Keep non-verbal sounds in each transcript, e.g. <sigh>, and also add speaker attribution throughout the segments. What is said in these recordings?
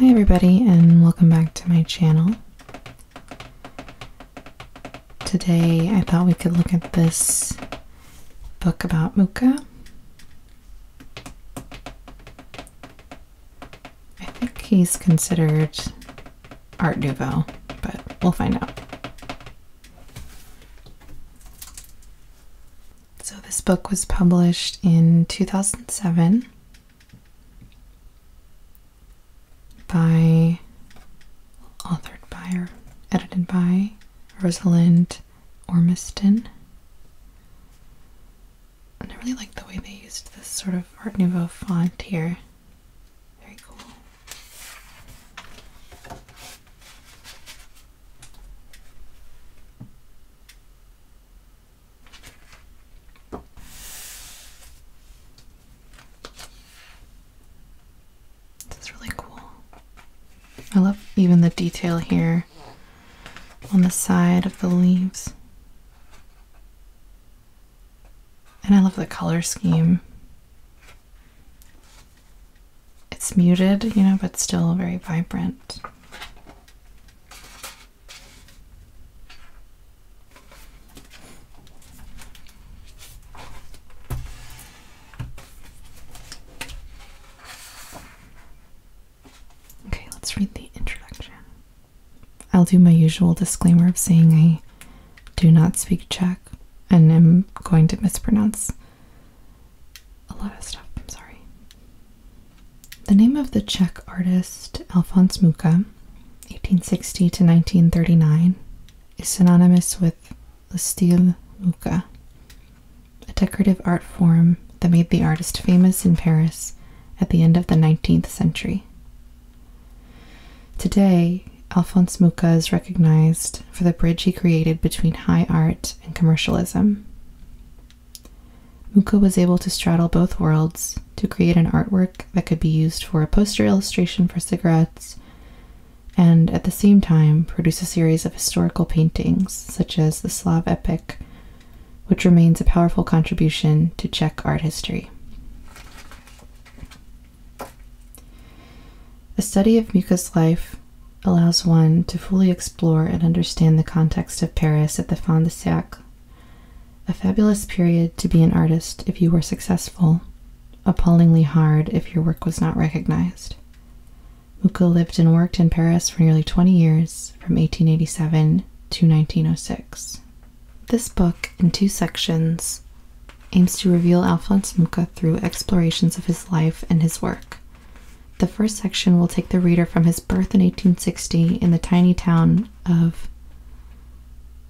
Speaker 1: Hi everybody and welcome back to my channel. Today I thought we could look at this book about Mooka. I think he's considered Art Nouveau, but we'll find out. So this book was published in 2007 by authored by or edited by Rosalind Ormiston. I really like the way they used this sort of Art Nouveau font here. Very cool. This is really cool. I love even the detail here on the side of the leaves. And I love the color scheme. It's muted, you know, but still very vibrant. Okay, let's read the introduction. I'll do my usual disclaimer of saying I do not speak Czech and am going to mispronounce a lot of stuff. I'm sorry. The name of the Czech artist Alphonse Mucha, 1860 to 1939, is synonymous with the style Mucha, a decorative art form that made the artist famous in Paris at the end of the 19th century. Today, Alphonse Mucha is recognized for the bridge he created between high art and commercialism. Muka was able to straddle both worlds to create an artwork that could be used for a poster illustration for cigarettes and at the same time produce a series of historical paintings such as the Slav epic, which remains a powerful contribution to Czech art history. A study of Muka's life allows one to fully explore and understand the context of Paris at the Fin de Siècle. A fabulous period to be an artist if you were successful, appallingly hard if your work was not recognized. Mucha lived and worked in Paris for nearly 20 years, from 1887 to 1906. This book, in two sections, aims to reveal Alphonse Mucha through explorations of his life and his work. The first section will take the reader from his birth in 1860 in the tiny town of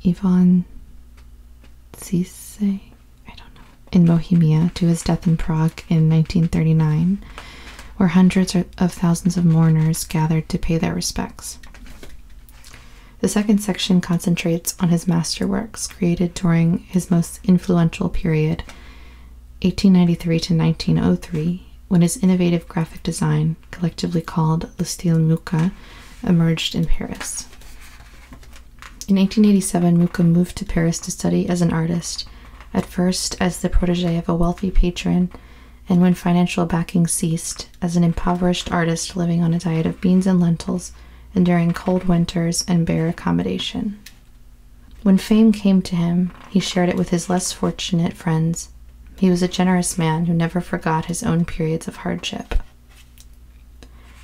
Speaker 1: Ivanice, Cisse, I don't know, in Bohemia to his death in Prague in 1939, where hundreds of thousands of mourners gathered to pay their respects. The second section concentrates on his masterworks created during his most influential period, 1893 to 1903, when his innovative graphic design, collectively called Le Style Muka, emerged in Paris. In 1887, Muka moved to Paris to study as an artist, at first as the protege of a wealthy patron, and when financial backing ceased, as an impoverished artist living on a diet of beans and lentils, enduring cold winters and bare accommodation. When fame came to him, he shared it with his less fortunate friends. He was a generous man who never forgot his own periods of hardship.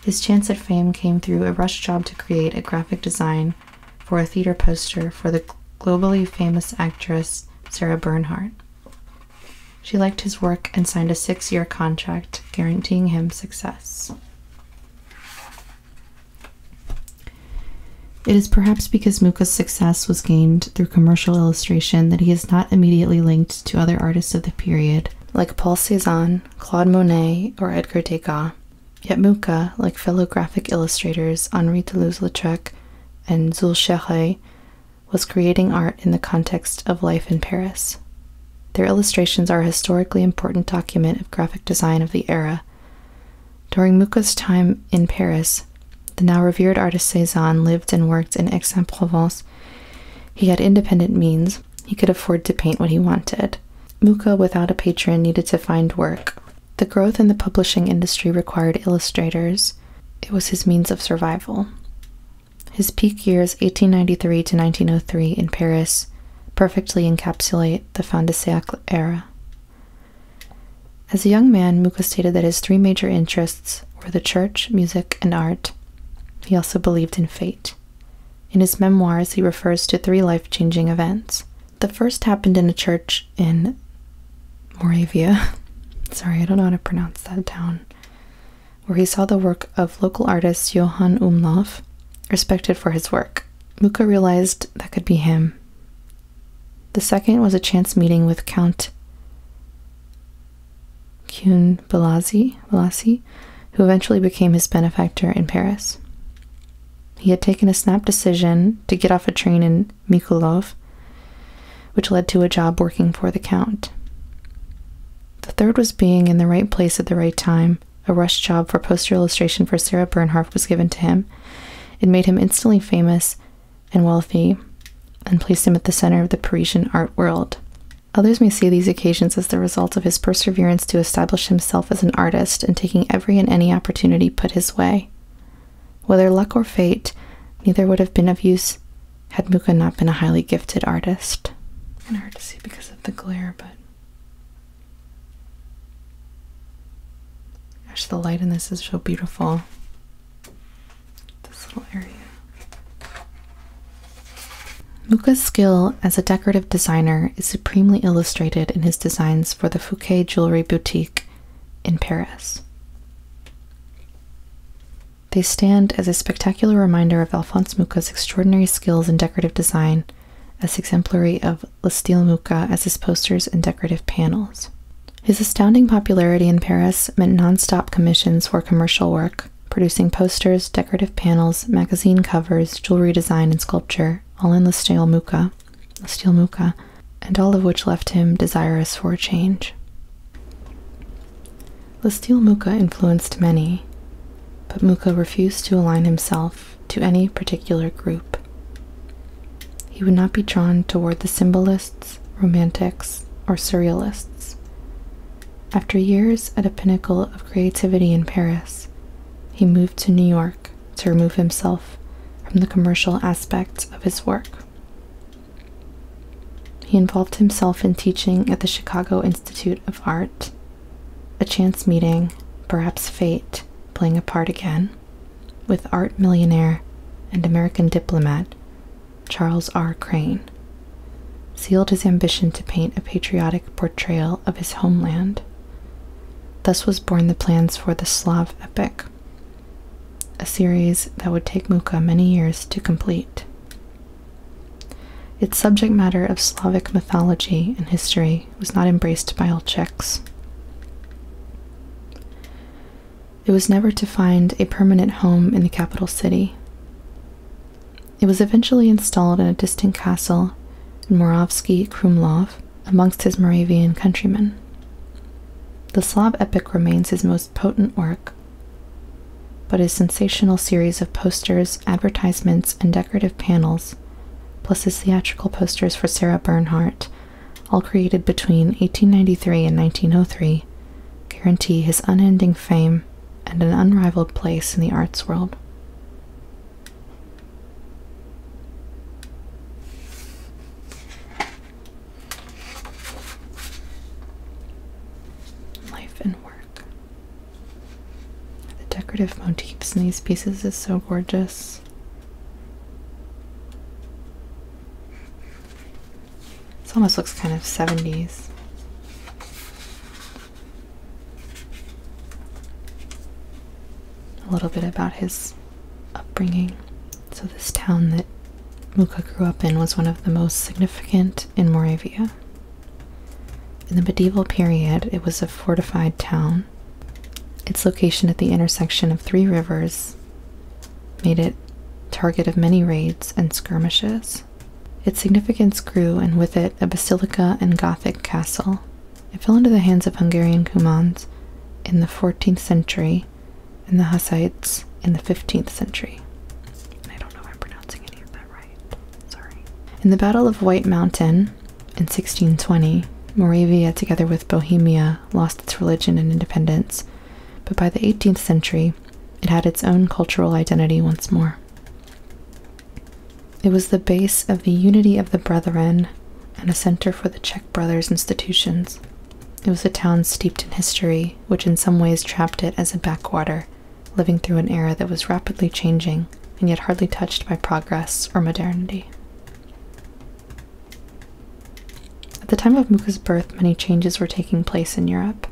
Speaker 1: His chance at fame came through a rush job to create a graphic design for a theater poster for the globally famous actress Sarah Bernhardt. She liked his work and signed a six year contract guaranteeing him success. It is perhaps because Muka's success was gained through commercial illustration that he is not immediately linked to other artists of the period, like Paul Cézanne, Claude Monet, or Edgar Degas. Yet Muka, like fellow graphic illustrators Henri Toulouse-Lautrec and Jules was creating art in the context of life in Paris. Their illustrations are a historically important document of graphic design of the era, during Muka's time in Paris, the now revered artist Cezanne lived and worked in Aix-en-Provence. He had independent means. He could afford to paint what he wanted. Muka, without a patron, needed to find work. The growth in the publishing industry required illustrators. It was his means of survival. His peak years, 1893 to 1903, in Paris, perfectly encapsulate the fin de siècle era. As a young man, Mucha stated that his three major interests were the church, music, and art. He also believed in fate. In his memoirs, he refers to three life changing events. The first happened in a church in Moravia. <laughs> Sorry, I don't know how to pronounce that town. Where he saw the work of local artist Johann Umlauf, respected for his work. Mucha realized that could be him the second was a chance meeting with Count Kienblazi, who eventually became his benefactor in Paris. He had taken a snap decision to get off a train in Mikulov, which led to a job working for the Count. The third was being in the right place at the right time. A rush job for poster illustration for Sarah Bernhardt was given to him, it made him instantly famous and wealthy and placed him at the center of the Parisian art world. Others may see these occasions as the result of his perseverance to establish himself as an artist and taking every and any opportunity put his way. Whether luck or fate, neither would have been of use had Mucha not been a highly gifted artist. Kind of hard to see because of the glare, but Gosh, the light in this is so beautiful. This little area. Muka's skill as a decorative designer is supremely illustrated in his designs for the Fouquet Jewelry Boutique in Paris. They stand as a spectacular reminder of Alphonse Muka's extraordinary skills in decorative design as exemplary of of L'Estile Muka as his posters and decorative panels. His astounding popularity in Paris meant non-stop commissions for commercial work, producing posters, decorative panels, magazine covers, jewelry design, and sculpture, all in L'Estile Muka, L'Estile Muka, and all of which left him desirous for a change. L'Estile Muka influenced many, but Muka refused to align himself to any particular group. He would not be drawn toward the symbolists, romantics, or surrealists. After years at a pinnacle of creativity in Paris, he moved to New York to remove himself from the commercial aspects of his work. He involved himself in teaching at the Chicago Institute of Art. A chance meeting, perhaps fate, playing a part again, with art millionaire and American diplomat Charles R. Crane, sealed his ambition to paint a patriotic portrayal of his homeland. Thus was born the plans for the Slav epic, a series that would take Mukha many years to complete. Its subject matter of Slavic mythology and history was not embraced by all Czechs. It was never to find a permanent home in the capital city. It was eventually installed in a distant castle in Moravsky Krumlov amongst his Moravian countrymen. The Slav epic remains his most potent work, but his sensational series of posters, advertisements, and decorative panels, plus his theatrical posters for Sarah Bernhardt all created between 1893 and 1903, guarantee his unending fame and an unrivaled place in the arts world. Life and work. The decorative motifs in these pieces is so gorgeous. This almost looks kind of 70s. A little bit about his upbringing. So, this town that Muka grew up in was one of the most significant in Moravia. In the medieval period, it was a fortified town its location at the intersection of three rivers made it target of many raids and skirmishes. Its significance grew, and with it a basilica and Gothic castle. It fell into the hands of Hungarian Cumans in the 14th century and the Hussites in the 15th century. I don't know if I'm pronouncing any of that right. Sorry. In the Battle of White Mountain, in 1620, Moravia, together with Bohemia, lost its religion and independence, but by the 18th century, it had its own cultural identity once more. It was the base of the unity of the Brethren and a center for the Czech Brothers' institutions. It was a town steeped in history, which in some ways trapped it as a backwater, living through an era that was rapidly changing and yet hardly touched by progress or modernity. At the time of Muka's birth, many changes were taking place in Europe.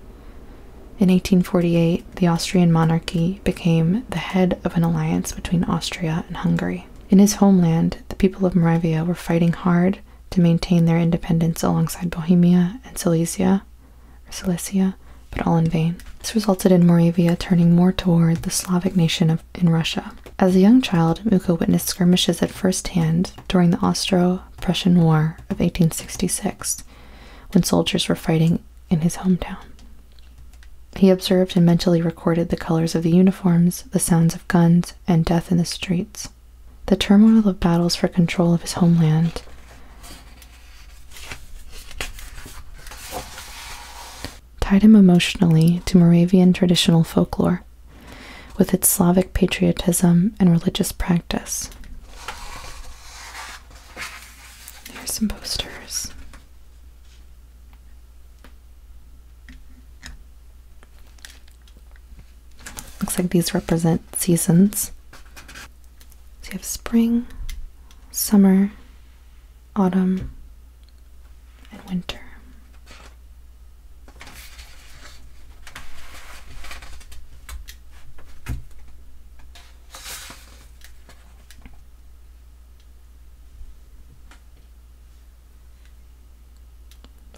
Speaker 1: In 1848, the Austrian monarchy became the head of an alliance between Austria and Hungary. In his homeland, the people of Moravia were fighting hard to maintain their independence alongside Bohemia and Silesia, Silesia, but all in vain. This resulted in Moravia turning more toward the Slavic nation of in Russia. As a young child, Muko witnessed skirmishes at first hand during the Austro-Prussian War of 1866, when soldiers were fighting in his hometown. He observed and mentally recorded the colors of the uniforms, the sounds of guns, and death in the streets. The turmoil of battles for control of his homeland tied him emotionally to Moravian traditional folklore with its Slavic patriotism and religious practice. Here's some posters. Looks like these represent seasons. So you have spring, summer, autumn, and winter.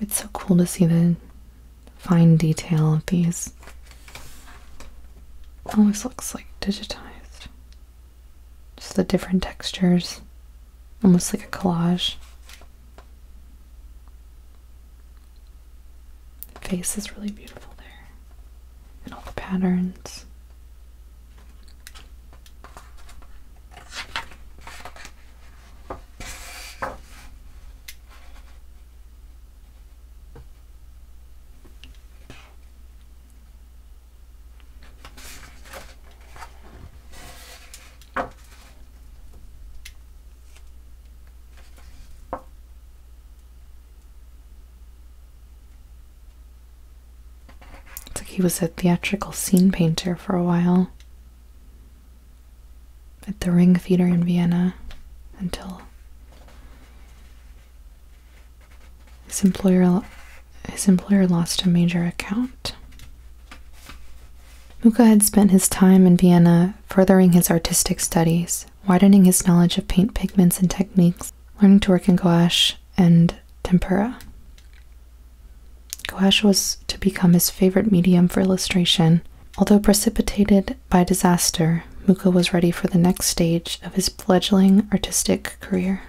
Speaker 1: It's so cool to see the fine detail of these. Always looks like digitized. Just the different textures almost like a collage. The face is really beautiful there, and all the patterns. It's like he was a theatrical scene painter for a while at the Ring Theater in Vienna until his employer, his employer lost a major account. Mucha had spent his time in Vienna furthering his artistic studies, widening his knowledge of paint pigments and techniques, learning to work in gouache and tempera. Gouache was to become his favorite medium for illustration. Although precipitated by disaster, Mucha was ready for the next stage of his fledgling artistic career.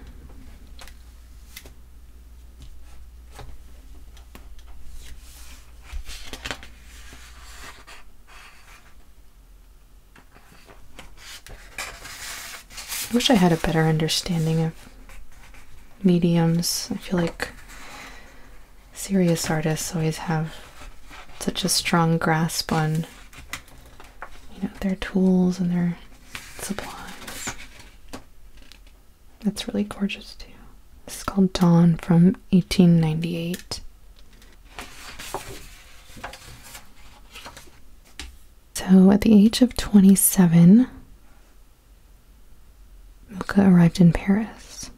Speaker 1: I wish I had a better understanding of mediums. I feel like serious artists always have such a strong grasp on you know their tools and their supplies. That's really gorgeous too. This is called Dawn from 1898. So at the age of 27, Milka arrived in Paris,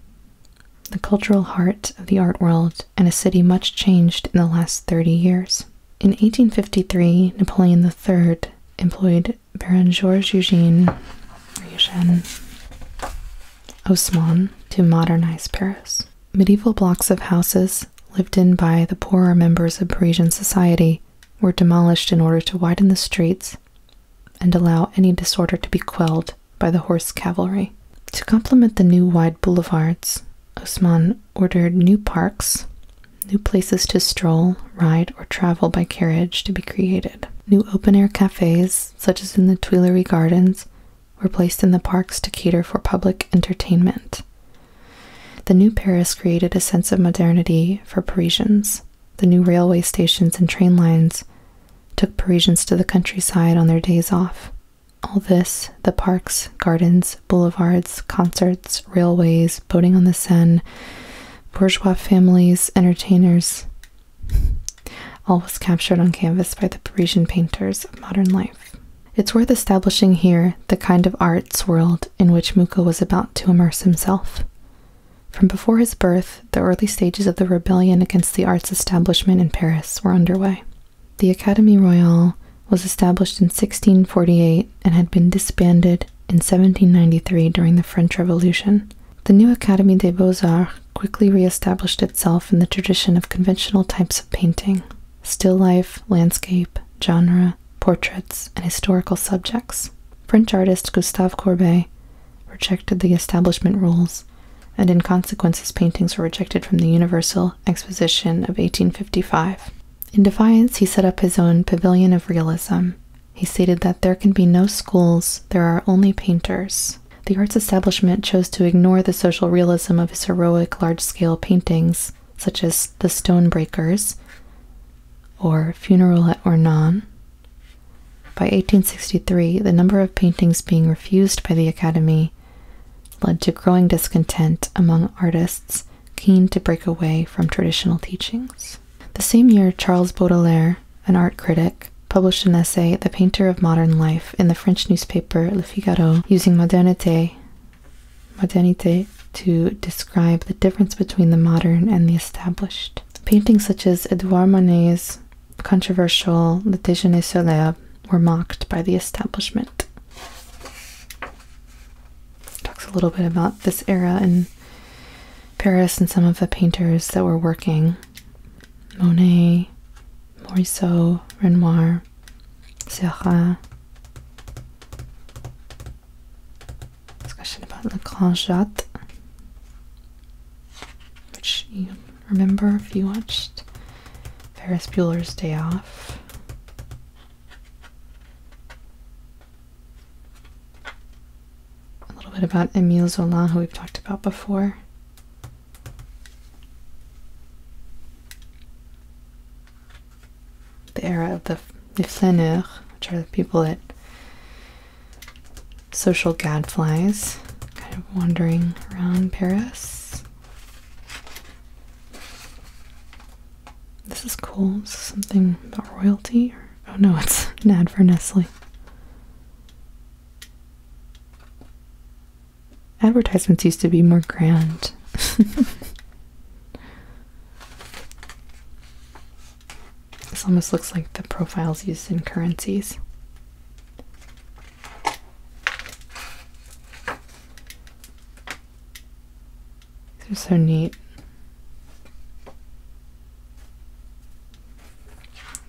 Speaker 1: the cultural heart of the art world and a city much changed in the last 30 years. In 1853, Napoleon III employed Baron Georges Eugène Osman, to modernize Paris. Medieval blocks of houses lived in by the poorer members of Parisian society were demolished in order to widen the streets and allow any disorder to be quelled by the horse cavalry. To complement the new wide boulevards, Osman ordered new parks New places to stroll, ride, or travel by carriage to be created. New open air cafes, such as in the Tuileries Gardens, were placed in the parks to cater for public entertainment. The new Paris created a sense of modernity for Parisians. The new railway stations and train lines took Parisians to the countryside on their days off. All this the parks, gardens, boulevards, concerts, railways, boating on the Seine, bourgeois families, entertainers. All was captured on canvas by the Parisian painters of modern life. It's worth establishing here the kind of arts world in which Mucha was about to immerse himself. From before his birth, the early stages of the rebellion against the arts establishment in Paris were underway. The Académie Royale was established in 1648 and had been disbanded in 1793 during the French Revolution. The new Académie des Beaux-Arts quickly re-established itself in the tradition of conventional types of painting, still life, landscape, genre, portraits, and historical subjects. French artist Gustave Courbet rejected the establishment rules, and in consequence his paintings were rejected from the Universal Exposition of 1855. In defiance, he set up his own pavilion of realism. He stated that there can be no schools, there are only painters. The arts establishment chose to ignore the social realism of his heroic large scale paintings, such as The Stonebreakers or Funeral at Ornon. By 1863, the number of paintings being refused by the Academy led to growing discontent among artists keen to break away from traditional teachings. The same year, Charles Baudelaire, an art critic, published an essay, The Painter of Modern Life, in the French newspaper Le Figaro, using modernité, modernité to describe the difference between the modern and the established. Paintings such as Edouard Monet's controversial Le Déjeuner sur l'Herbe" were mocked by the establishment talks a little bit about this era in Paris and some of the painters that were working Monet, Morisot, Renoir, Seurat. Discussion about the Grand Jatte, which you remember if you watched Ferris Bueller's Day Off. A little bit about Emile Zola, who we've talked about before. The era of the, the flâneurs, which are the people that social gadflies kind of wandering around Paris. This is cool. something about royalty? oh no, it's <laughs> an ad for Nestle. Advertisements used to be more grand. <laughs> this almost looks like the profiles used in currencies they are so neat.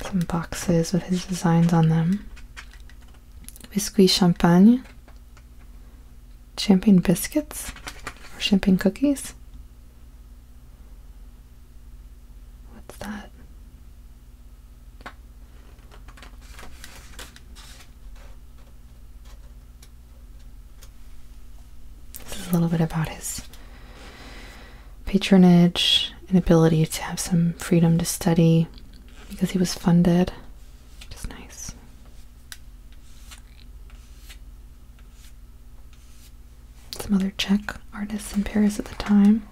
Speaker 1: Some boxes with his designs on them. Biscuit champagne. Champagne biscuits or champagne cookies. What's that? This is a little bit about his patronage and ability to have some freedom to study because he was funded, which nice. Some other Czech artists in Paris at the time.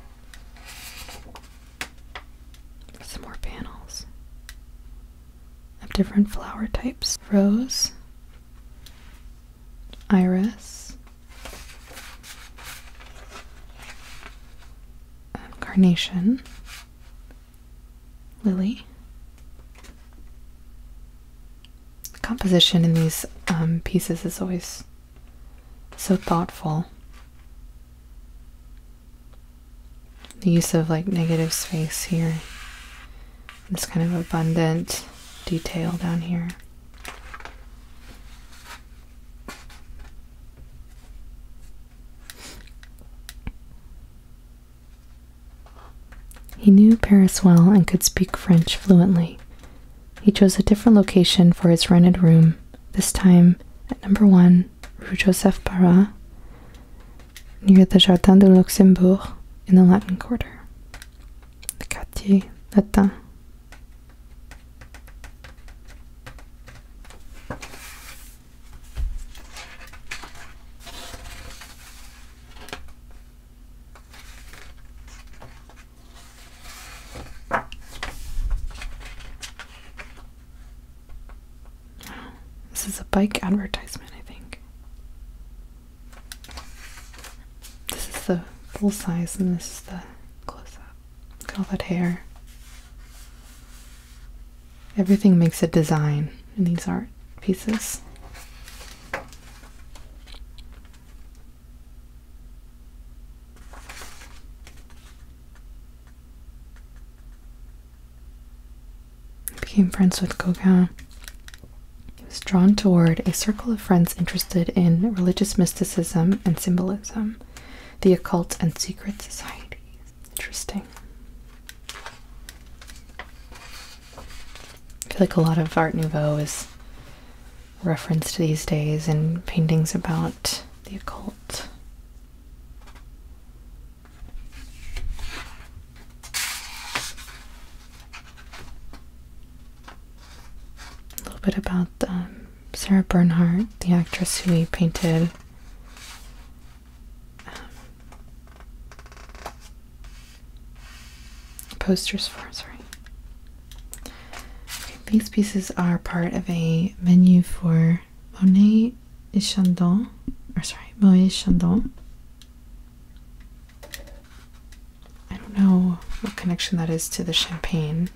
Speaker 1: Some more panels of different flower types rose, iris, um, carnation, lily. composition in these um, pieces is always so thoughtful the use of like negative space here. This kind of abundant detail down here. He knew Paris well and could speak French fluently. He chose a different location for his rented room, this time at number one Rue Joseph Barra, near the Jardin du Luxembourg in the Latin Quarter, the Quartier Latin. This is a bike advertisement, I think. This is the full size, and this is the close up. Look at all that hair. Everything makes a design in these art pieces became friends with Gauguin. He was drawn toward a circle of friends interested in religious mysticism and symbolism, the occult and secret societies. Interesting. I feel like a lot of Art Nouveau is referenced these days in paintings about the occult. A little bit about um, Sarah Bernhardt, the actress who we painted. Um, posters for, sorry. these pieces are part of a menu for Monet et Chandon, or sorry, Monet Chandon I don't know what connection that is to the champagne.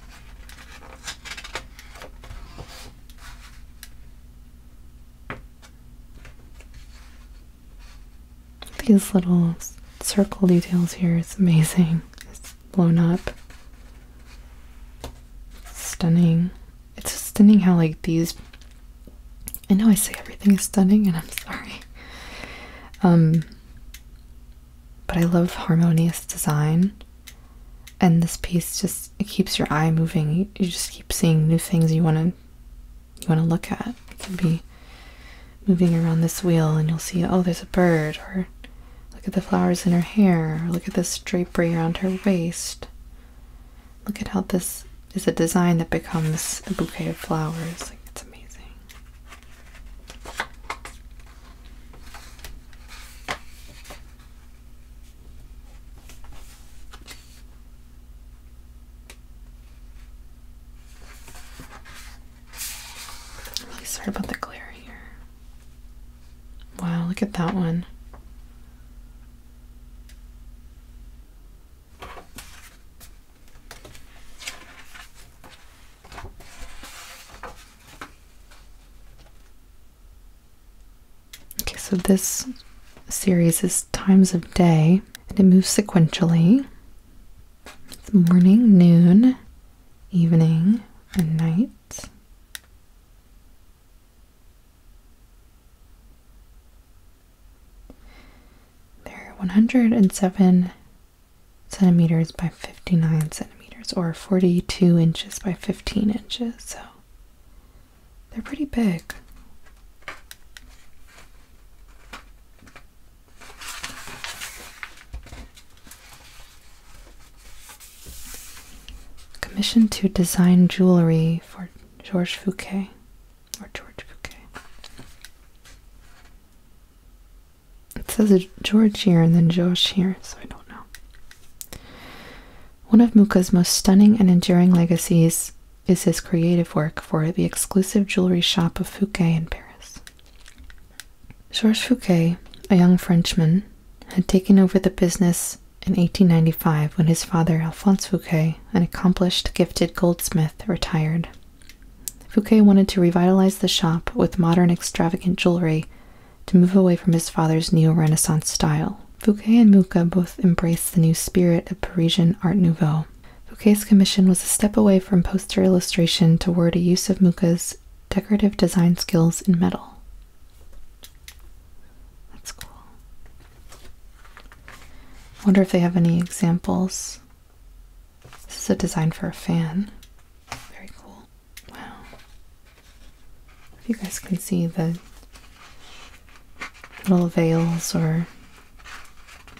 Speaker 1: These little circle details here, it's amazing. It's blown up. Stunning it's stunning how like these I know I say everything is stunning and I'm sorry. Um but I love harmonious design and this piece just it keeps your eye moving. You just keep seeing new things you wanna you wanna look at. It can be moving around this wheel and you'll see oh there's a bird or look at the flowers in her hair or look at this drapery around her waist Look at how this is a design that becomes a bouquet of flowers. it's amazing. sorry about the glare here. Wow, look at that one. Okay, so this series is times of day and it moves sequentially. morning, noon, evening, and night. They're 107 centimeters by 59 centimeters, or 42 inches by 15 inches, so they're pretty big. Commissioned to design jewelry for George Fouquet or George Fouquet. It says George here and then Josh here, so I don't know. One of Muka's most stunning and enduring legacies is his creative work for the exclusive jewelry shop of Fouquet in Paris. Georges Fouquet, a young Frenchman, had taken over the business in 1895, when his father, Alphonse Fouquet, an accomplished, gifted goldsmith, retired, Fouquet wanted to revitalize the shop with modern, extravagant jewelry to move away from his father's neo Renaissance style. Fouquet and Mucha both embraced the new spirit of Parisian Art Nouveau. Fouquet's commission was a step away from poster illustration toward a use of Mucha's decorative design skills in metal. That's cool. Wonder if they have any examples. This is a design for a fan. Very cool. Wow. If you guys can see the little veils or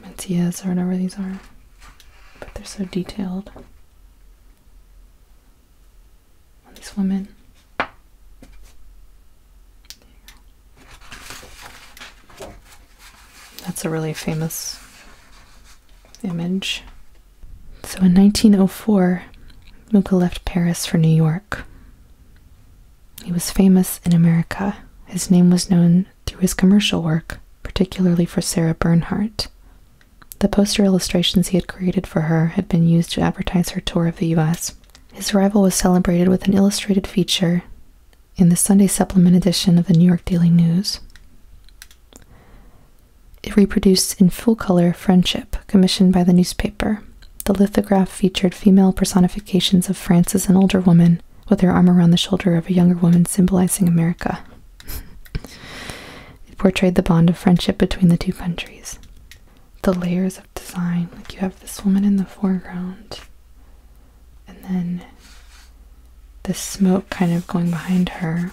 Speaker 1: mantillas or whatever these are, but they're so detailed. All these women. That's a really famous image. So in 1904, Mucha left Paris for New York. He was famous in America. His name was known through his commercial work, particularly for Sarah Bernhardt. The poster illustrations he had created for her had been used to advertise her tour of the U.S. His arrival was celebrated with an illustrated feature in the Sunday supplement edition of the New York Daily News. It reproduced in full color Friendship, commissioned by the newspaper. The lithograph featured female personifications of France as an older woman with her arm around the shoulder of a younger woman symbolizing America. <laughs> it portrayed the bond of friendship between the two countries the layers of design. Like you have this woman in the foreground, and then the smoke kind of going behind her,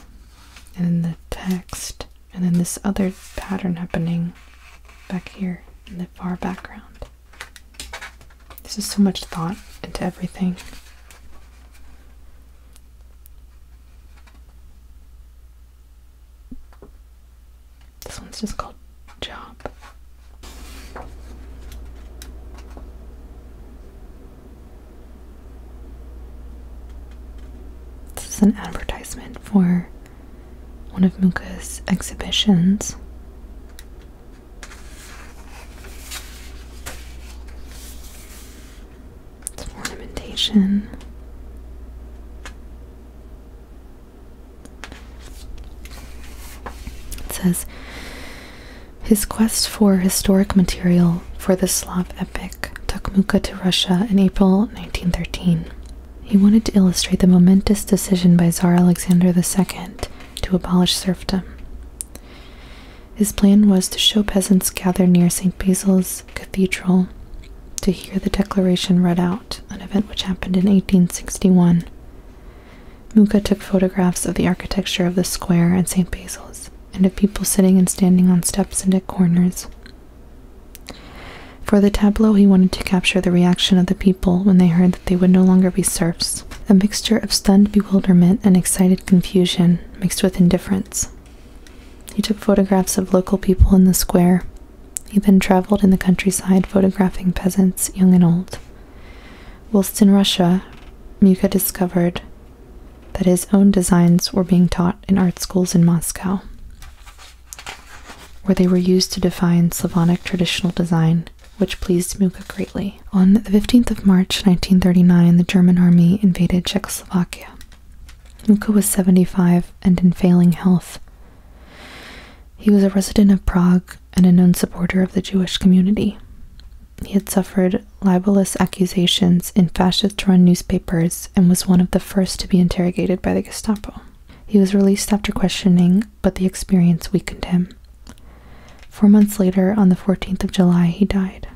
Speaker 1: and then the text, and then this other pattern happening back here in the far background. This is so much thought into everything. This one's just called Job. This is an advertisement for one of Muka's exhibitions. It's ornamentation. It says his quest for historic material for the Slav epic took Mukha to Russia in April 1913. He wanted to illustrate the momentous decision by Tsar Alexander II to abolish serfdom. His plan was to show peasants gathered near St. Basil's Cathedral to hear the declaration read out an event which happened in 1861. Mucha took photographs of the architecture of the square and St. Basil's, and of people sitting and standing on steps and at corners. For the tableau, he wanted to capture the reaction of the people when they heard that they would no longer be serfs, a mixture of stunned bewilderment and excited confusion mixed with indifference. He took photographs of local people in the square, he then traveled in the countryside photographing peasants, young and old. Whilst in Russia, Muka discovered that his own designs were being taught in art schools in Moscow, where they were used to define Slavonic traditional design, which pleased Muka greatly. On the 15th of March 1939, the German army invaded Czechoslovakia. Muka was 75 and in failing health, he was a resident of Prague and a known supporter of the Jewish community. He had suffered libelous accusations in fascist run newspapers and was one of the first to be interrogated by the Gestapo. He was released after questioning, but the experience weakened him. Four months later, on the 14th of July, he died.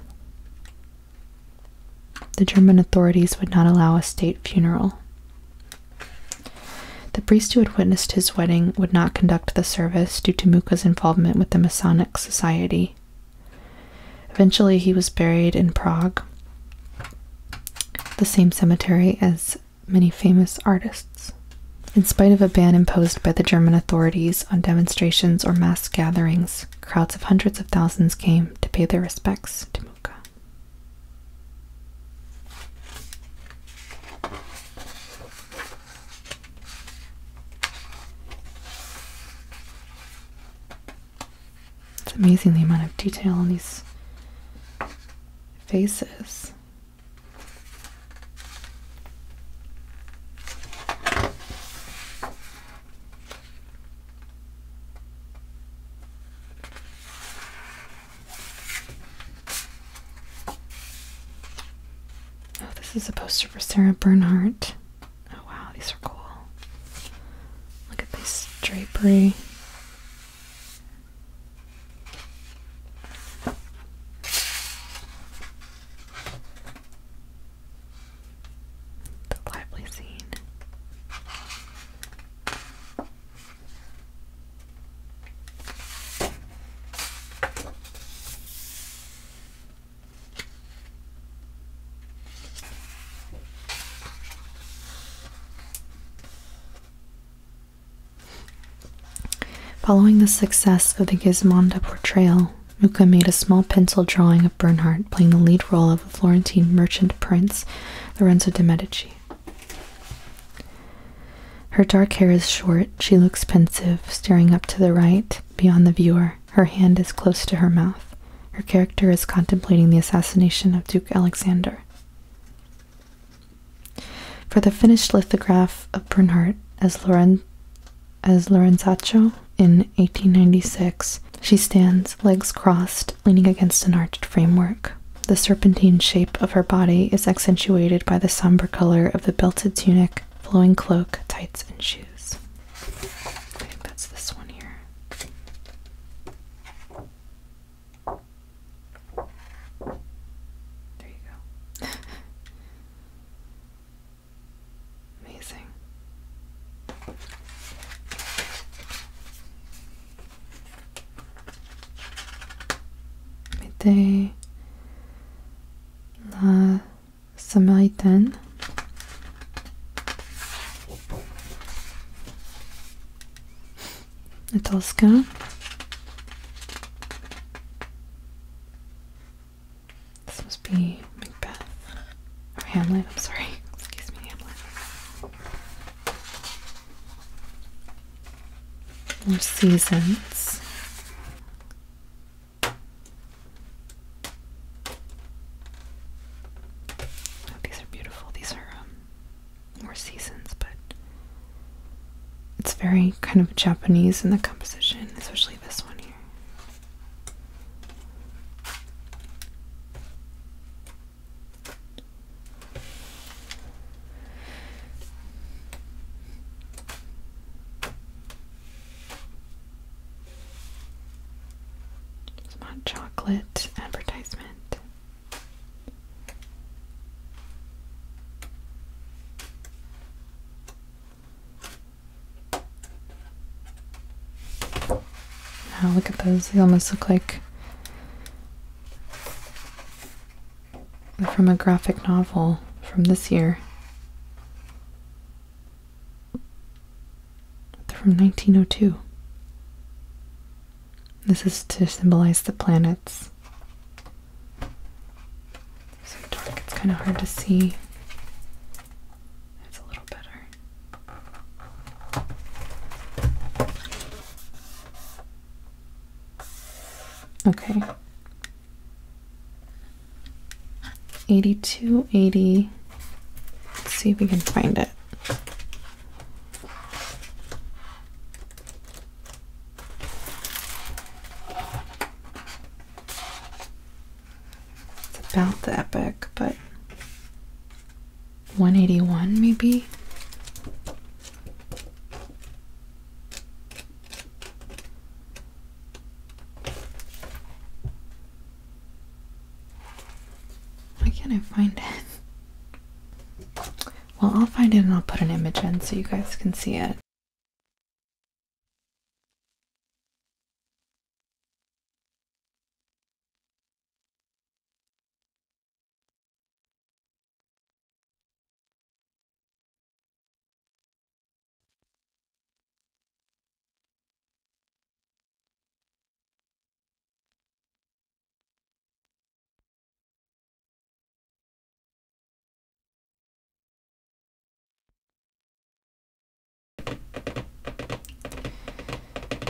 Speaker 1: The German authorities would not allow a state funeral. The priest who had witnessed his wedding would not conduct the service due to Muka's involvement with the Masonic Society. Eventually, he was buried in Prague, the same cemetery as many famous artists. In spite of a ban imposed by the German authorities on demonstrations or mass gatherings, crowds of hundreds of thousands came to pay their respects to Muka. It's amazing the amount of detail on these faces. Oh, this is a poster for Sarah Bernhardt. Oh wow, these are cool. Look at this drapery. The lively scene. Following the success of the Gismonda portrayal, Mucha made a small pencil drawing of Bernhardt playing the lead role of a Florentine merchant prince, Lorenzo de' Medici. Her dark hair is short. She looks pensive, staring up to the right, beyond the viewer. Her hand is close to her mouth. Her character is contemplating the assassination of Duke Alexander. For the finished lithograph of Bernhardt as, Loren as in 1896, she stands, legs crossed, leaning against an arched framework. The serpentine shape of her body is accentuated by the somber color of the belted tunic, flowing cloak, tights, and shoes. I think that's this one here. There you go. <laughs> Amazing était la Samaritaine. Natalska. This must be Macbeth. Or Hamlet, I'm sorry. Excuse me, Hamlet. More seasons. Oh, these are beautiful. These are um, more seasons, but it's very kind of Japanese in the composition, especially this one here. It's chocolate advertisement. Now look at those. They almost look like from a graphic novel from this year. From 1902. This is to symbolize the planets. So dark, it's kind of hard to see. It's a little better. Okay. 8280. Let's see if we can find it. It's about the epic, but 181 maybe why can't I find it? Well, I'll find it and I'll put an image in so you guys can see it.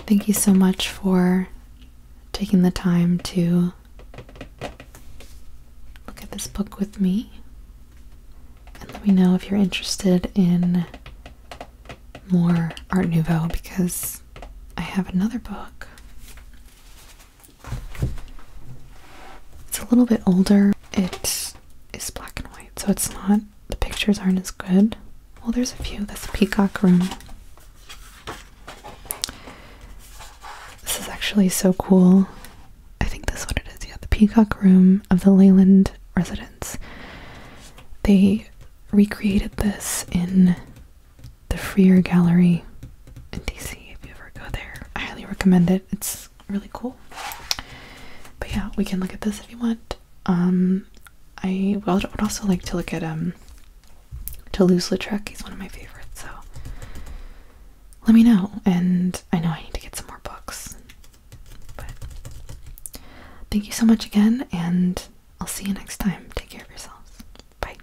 Speaker 1: Thank you so much for taking the time to look at this book with me. And let me know if you're interested in more Art Nouveau because I have another book. It's a little bit older. It is black and white, so it's not, the pictures aren't as good. Well, there's a few. That's Peacock Room. This is actually so cool. I think that's what it is. Yeah, the Peacock Room of the Leyland residence. They recreated this in the Freer Gallery in DC. If you ever go there, I highly recommend it. It's really cool. But yeah, we can look at this if you want. Um, I would also like to look at um to lose the lautrec He's one of my favorites, so let me know. And I know I need to get some more books. But thank you so much again, and I'll see you next time. Take care of yourselves. Bye.